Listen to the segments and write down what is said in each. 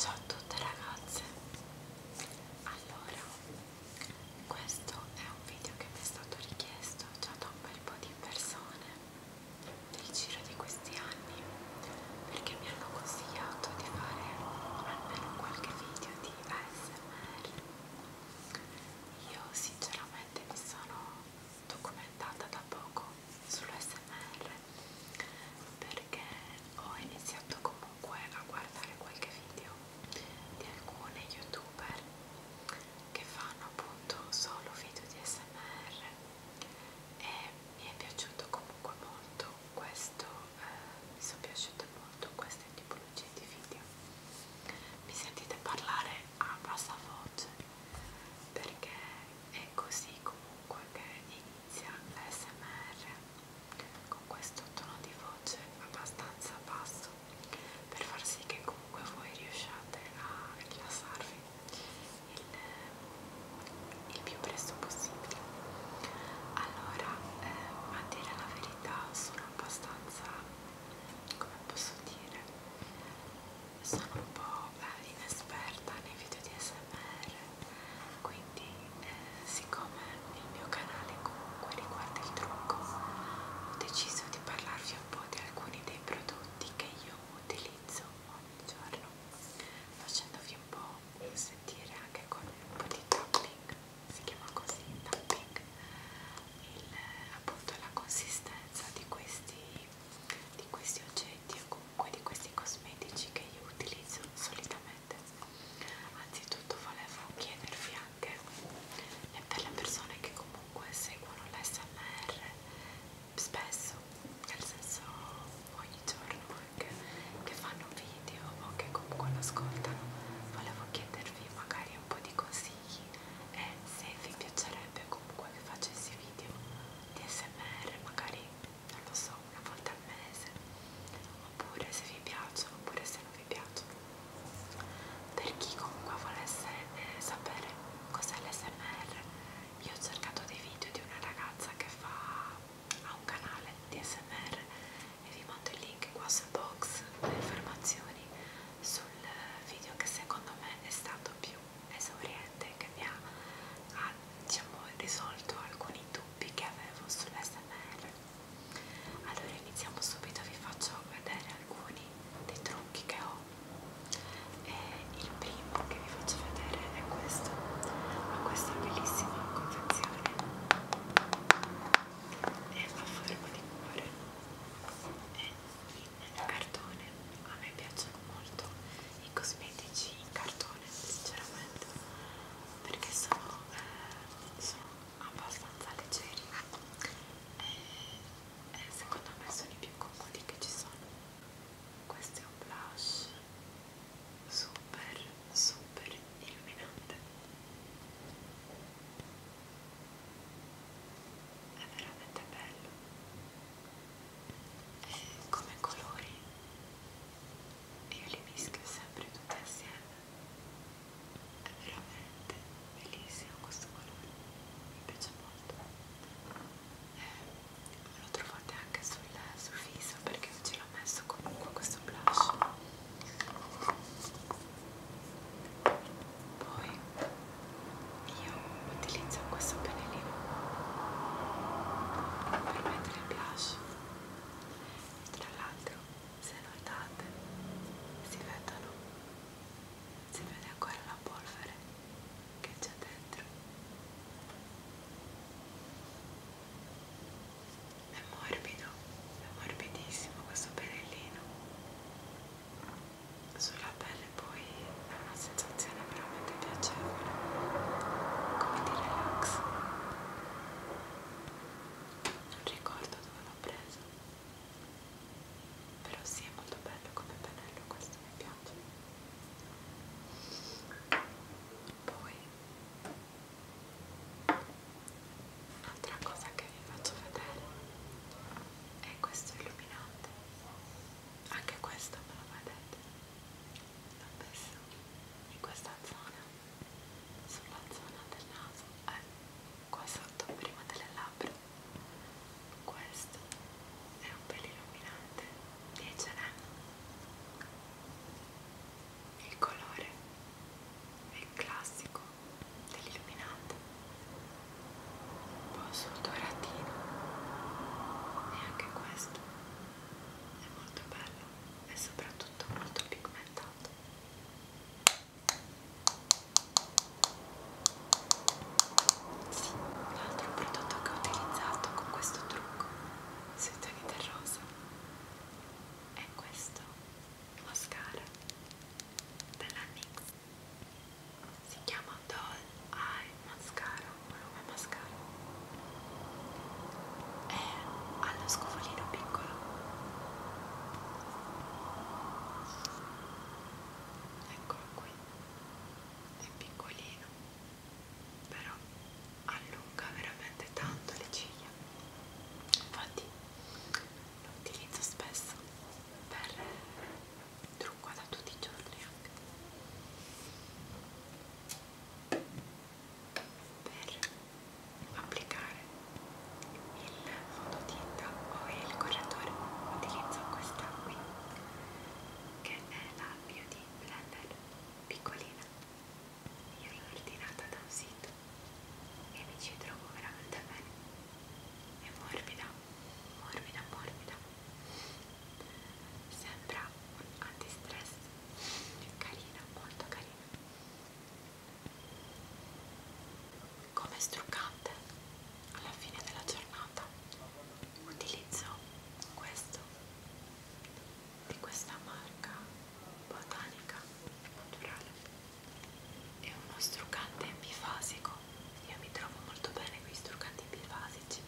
Ciao a tutte ragazze, allora questo è un video che mi è stato richiesto già da un bel po' di persone nel giro di questi anni perché mi hanno consigliato di fare almeno qualche video di ASMR. Io sinceramente mi sono documentata da poco sull'ASMR, però perché ho iniziato comunque a guardare qualche video di alcune youtuber che fanno appunto solo video di smr e mi è piaciuto comunque molto questo eh, mi sono piaciute molto queste tipologie di video mi sentite parlare a bassa voce perché è così comunque che inizia l'SMR con questo tono di voce abbastanza basso per far sì che comunque voi riusciate a rilassarvi il, il più presto possibile. Allora, eh, a dire la verità sono abbastanza, come posso dire, sono un po' eh, inesperta nei video di SMR quindi eh, siccome il mio canale comunque riguarda il trucco ho deciso di parlarvi un po' di alcuni dei prodotti che io utilizzo ogni giorno facendovi un po' sentire anche con un po' di tapping si chiama così tapping il, appunto la consistenza di questi di questi oggetti o comunque di questi cosmetici che io utilizzo solitamente anzitutto volevo chiedervi anche e eh, per le persone che comunque seguono l'SMR spesso nel senso ogni giorno anche che fanno video o che comunque lo ascoltano volevo chiedervi magari un po' di consigli e se vi piacerebbe comunque che facessi video di SMR magari non lo so, una volta al mese, oppure se vi piacciono, oppure se non vi piacciono. Per chi comunque volesse eh, sapere cos'è l'SMR, io ho cercato dei video di una ragazza che fa ha un canale di SMR e vi mando il link qua sul box, le informazioni sul video che secondo me è stato più esauriente che mi ha, ha diciamo, risolto alcuni dubbi che avevo sull'SML. Allora iniziamo subito, vi faccio vedere alcuni dei trucchi che ho. E il primo che vi faccio vedere è questo, ho questa bellissima confezione e fa forma di cuore e in cartone, a me piacciono molto i cosmetici in cartone sinceramente perché sono, eh, sono abbastanza leggeri e, e secondo me sono i più comodi che ci sono. Questo è un blush super super illuminante è veramente bello eh, come colori io li mischio sempre tutti assieme è veramente bellissimo questo colore mi piace molto eh, lo trovate anche sul, sul viso perché io ce l'ho messo comunque questo blush poi io utilizzo questo pennellino per mettere blush e tra l'altro se notate si vedono si vede ancora la polvere che c'è dentro è morbido è morbidissimo questo pennellino sulla pelle poi è una sensazione veramente piacevole come di relax non ricordo dove l'ho preso però sì è molto bello come pennello questo mi piace poi Un'altra cosa che vi faccio vedere è questo illuminante anche questo me lo vedete l'ho messo in questa zona sulla zona del naso eh, qua sotto prima delle labbra questo è un pelo illuminante 10 H&M. il colore è il classico dell'illuminante un po' sul doratino e anche questo è molto bello e soprattutto molto pigmentato sì, l'altro prodotto che ho utilizzato con questo trucco sui toni del rosa è questo mascara della NYX si chiama Doll Eye Mascara volume mascara è allo scovolino piccolo eccolo qui è piccolino però allunga veramente tanto le ciglia infatti lo utilizzo spesso per trucco da tutti i giorni anche per applicare il fondotinta o il correttore utilizzo questa qui che è la Beauty Blender piccolina io l'ho ordinata da un sito e mi ci trovo veramente bene è morbida, morbida, morbida sembra un antistress carina, molto carina come struccante alla fine della giornata utilizzo questo di questa marca botanica naturale è uno struccante bifasico io mi trovo molto bene con i struccanti bifasici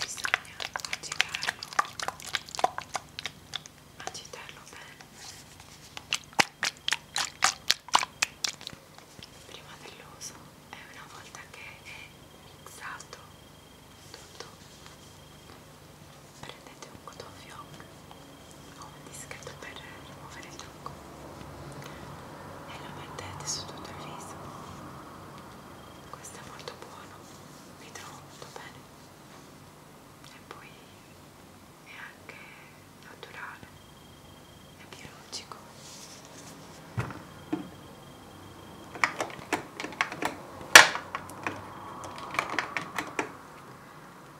bisogna agitarlo agitarlo bene prima dell'uso e una volta che è mixato tutto prendete un cotton fioc ho un dischetto per rimuovere il trucco e lo mettete su tutto il viso questo è molto buono mi trovo molto bene e poi è anche naturale è biologico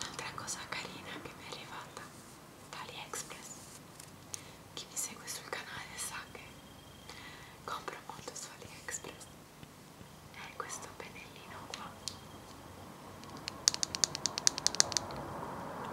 Un'altra cosa carina che mi è arrivata da AliExpress. Chi mi segue sul canale sa che compro molto su AliExpress. È questo pennellino qua.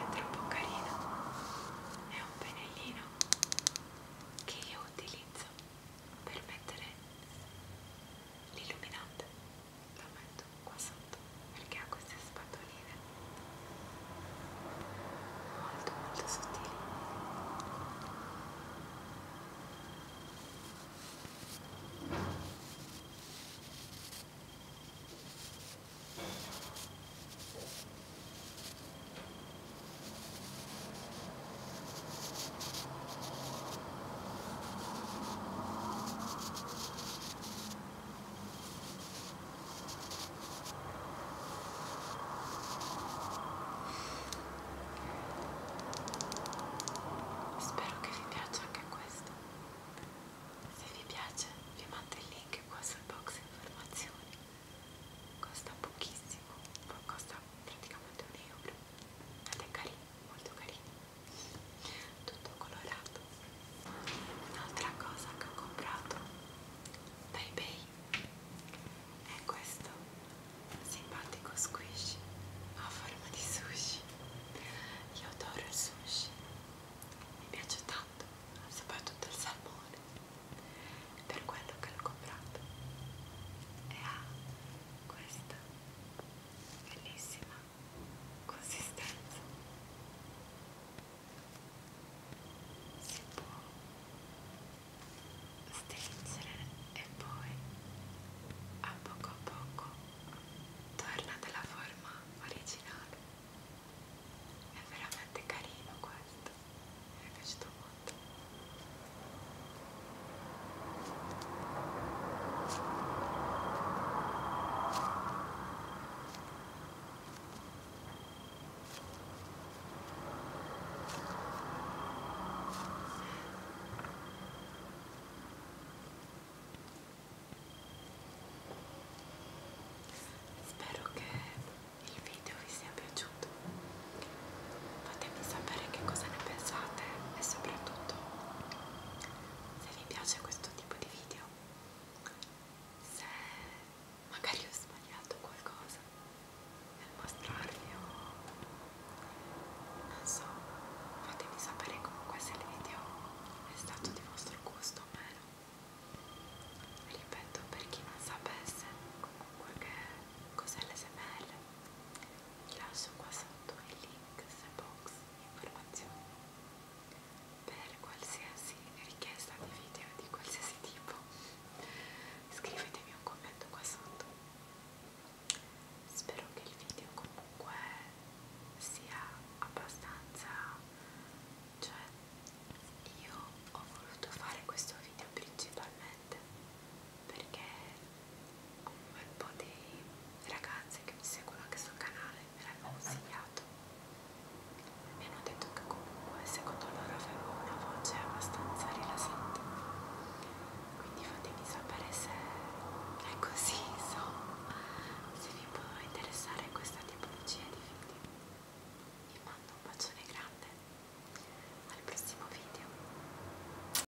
È troppo carino. È un pennellino che io utilizzo per mettere l'illuminante la metto qua sotto perché ha queste spatoline molto molto sottili Spero che vi piaccia anche questo. Se vi piace vi mando il link qua sul box informazioni. Costa pochissimo, costa praticamente un euro. Ed è carino, molto carino tutto colorato un'altra cosa che ho comprato da ebay è questo simpatico squishy a forma di sushi io adoro il sushi mi piace tanto soprattutto il salmone per quello che l'ho comprato e ha questa bellissima consistenza si può stringere e poi a poco a poco torna della forma originale è veramente carino questo mi è piaciuto molto Spero che il video vi sia piaciuto. Fatemi sapere che cosa ne pensate e soprattutto se vi piace questo tipo di video, se magari ho sbagliato qualcosa nel mostrarvi o non so, fatemi sapere comunque se il video è stato di vostro gusto o meno. Ripeto, per chi non sapesse comunque che cos'è l'SML, vi lascio qua sotto il link links, box, informazioni per qualsiasi richiesta di video di qualsiasi tipo scrivetemi un commento qua sotto spero che il video comunque sia abbastanza cioè io ho voluto fare questo video principalmente perché un bel po' di ragazze che mi seguono anche sul canale me l'hanno consigliato e mi hanno detto che comunque secondo loro avevo una voce abbastanza rilassante quindi fatemi sapere se è così insomma se vi può interessare questa tipologia di video vi mando un bacione grande al prossimo video